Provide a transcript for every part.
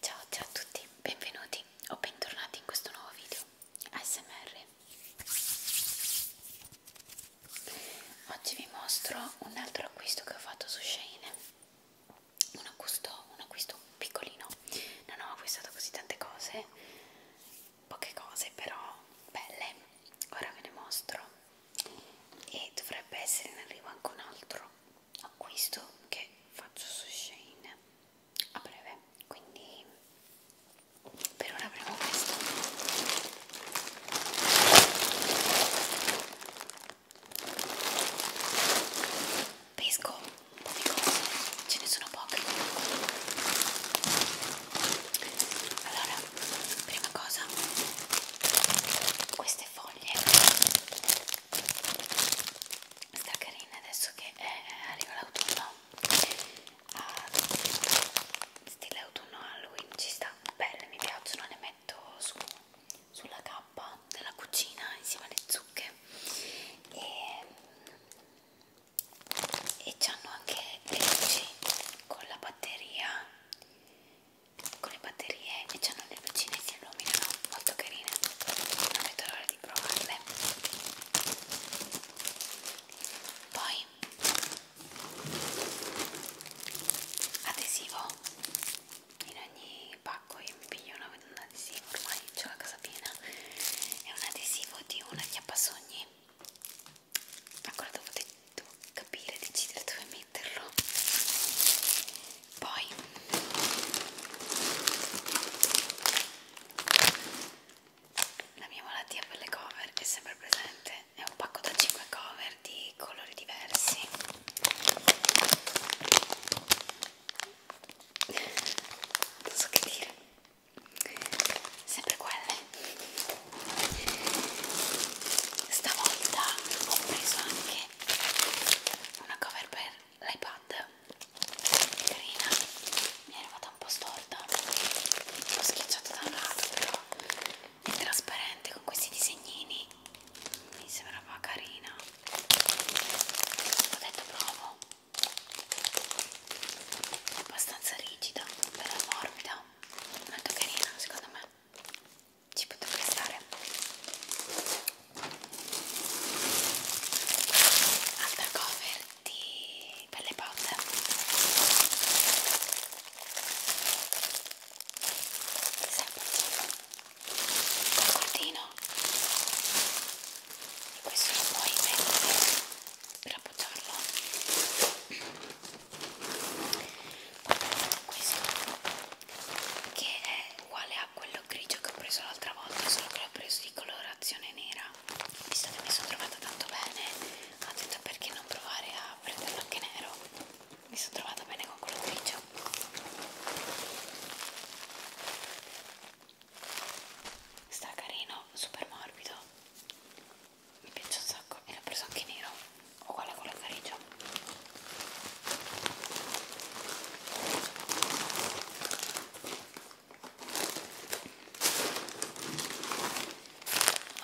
Ciao ciao a tutti, benvenuti o bentornati in questo nuovo video ASMR Oggi vi mostro un altro acquisto che ho fatto su Shane un acquisto, un acquisto piccolino, non ho acquistato così tante cose poche cose però belle ora ve ne mostro e dovrebbe essere in arrivo anche un altro acquisto che faccio su Shane a breve quindi per ora avremo questo pesco un po' di cose ce ne sono poche allora prima cosa questa queste foglie sta carina adesso che è, eh, arriva l'autunno ah, stile autunno Halloween ci sta belle mi piacciono le metto su, sulla cappa della cucina insieme alle zucche e, e c'hanno anche le luci con la batteria con le batterie e c'hanno le lucine che si illuminano, molto carine, non vedo l'ora di provarle. Poi adesivo, in ogni pacco io mi piglio una, un adesivo, ormai ho la casa piena, è un adesivo di una chiappasogni ancora devo, devo capire, decidere dove metterlo. Poi la mia malattia per le cover è sempre presente, è un pacco da 5 cover di colori diversi. Non so che dire sempre quelle stavolta ho preso anche una cover per l'iPad carina mi è arrivata un po' storta l'ho schiacciata da un lato però è trasparente con questi disegnini mi sembrava carina ho detto provo abbastanza rigida, bella morbida, molto carina secondo me, ci potrebbe stare. Altra cover di Pelle Potter. Semplice. Col cordino. E questo lo puoi mettere per appoggiarlo poi prendiamo questo che è uguale a quello grigio che ho preso l'altra volta solo che l'ho preso di colorazione nera visto che mi sono trovata tanto bene ho detto perché non provare a prenderlo anche nero mi sono trovata bene con quello grigio sta carino, super morbido mi piace un sacco e l'ho preso anche nero uguale a quello grigio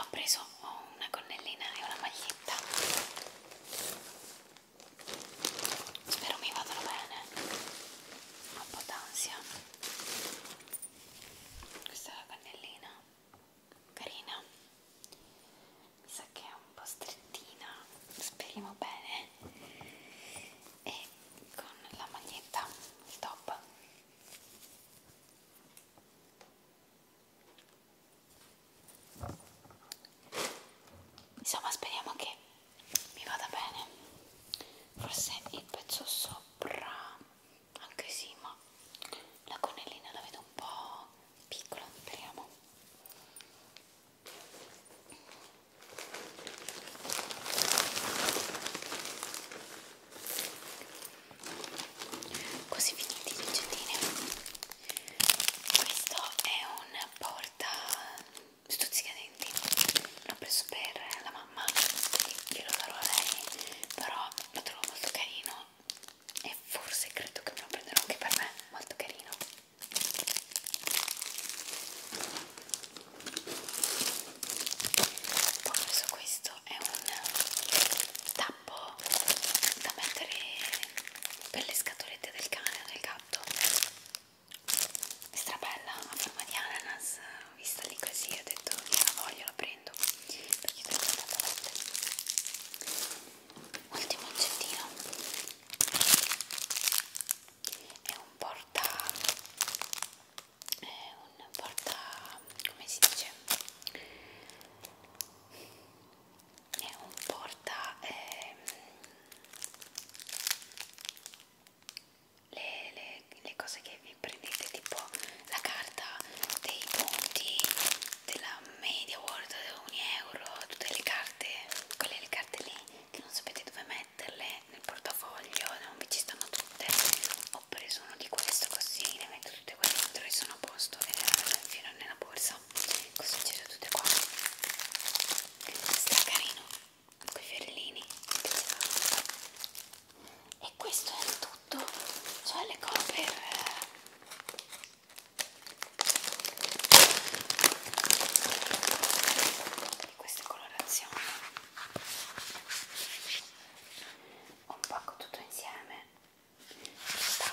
ho preso una gonnellina e una maglietta spero mi vadano bene ho un po' d'ansia questa è la cannellina carina mi sa che è un po' strettina speriamo bene e con la maglietta il top insomma speriamo che mi vada bene forse il pezzo sopra anche sì ma la connellina la vedo un po' piccola speriamo Così finiti i ricettini. Questo è un una porta stuzzicadenti l'ho preso per la mamma glielo darò a lei però lo trovo molto carino e forse credo che me lo prenderò anche per me molto carino poi ho preso questo è un tappo da mettere per le scatolette del cane o del gatto è strabella a forma di ananas vista lì così ho detto io la voglio la prendo perché l'ho comprata volte ultimo oggettino è un porta è un porta come si dice è un porta ehm, le, le, le cose che vi prendete tipo la carta dei punti della media world ogni euro tutte le carte quelle le carte lì che non sapete dove metterle nel portafoglio non vi ci stanno tutte ho preso uno di questo così le metto tutte qua dentro e sono a posto e le infilo nella borsa così ci sono tutte qua sta carino con i ferrellini e questo è tutto cioè le cover di eh. queste colorazioni un pacco tutto insieme sta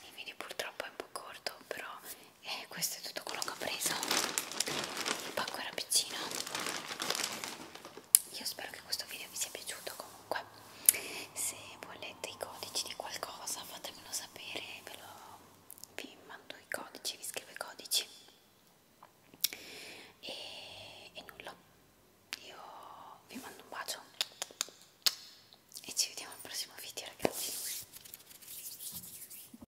il video purtroppo è un po' corto però eh, questo è tutto quello che ho preso il pacco era piccino io spero che questo video vi sia piaciuto comunque se volete i codici di qualcosa fatemelo sapere ve lo, vi mando i codici vi scrivo i codici e, e nulla io vi mando un bacio e ci vediamo al prossimo video ragazzi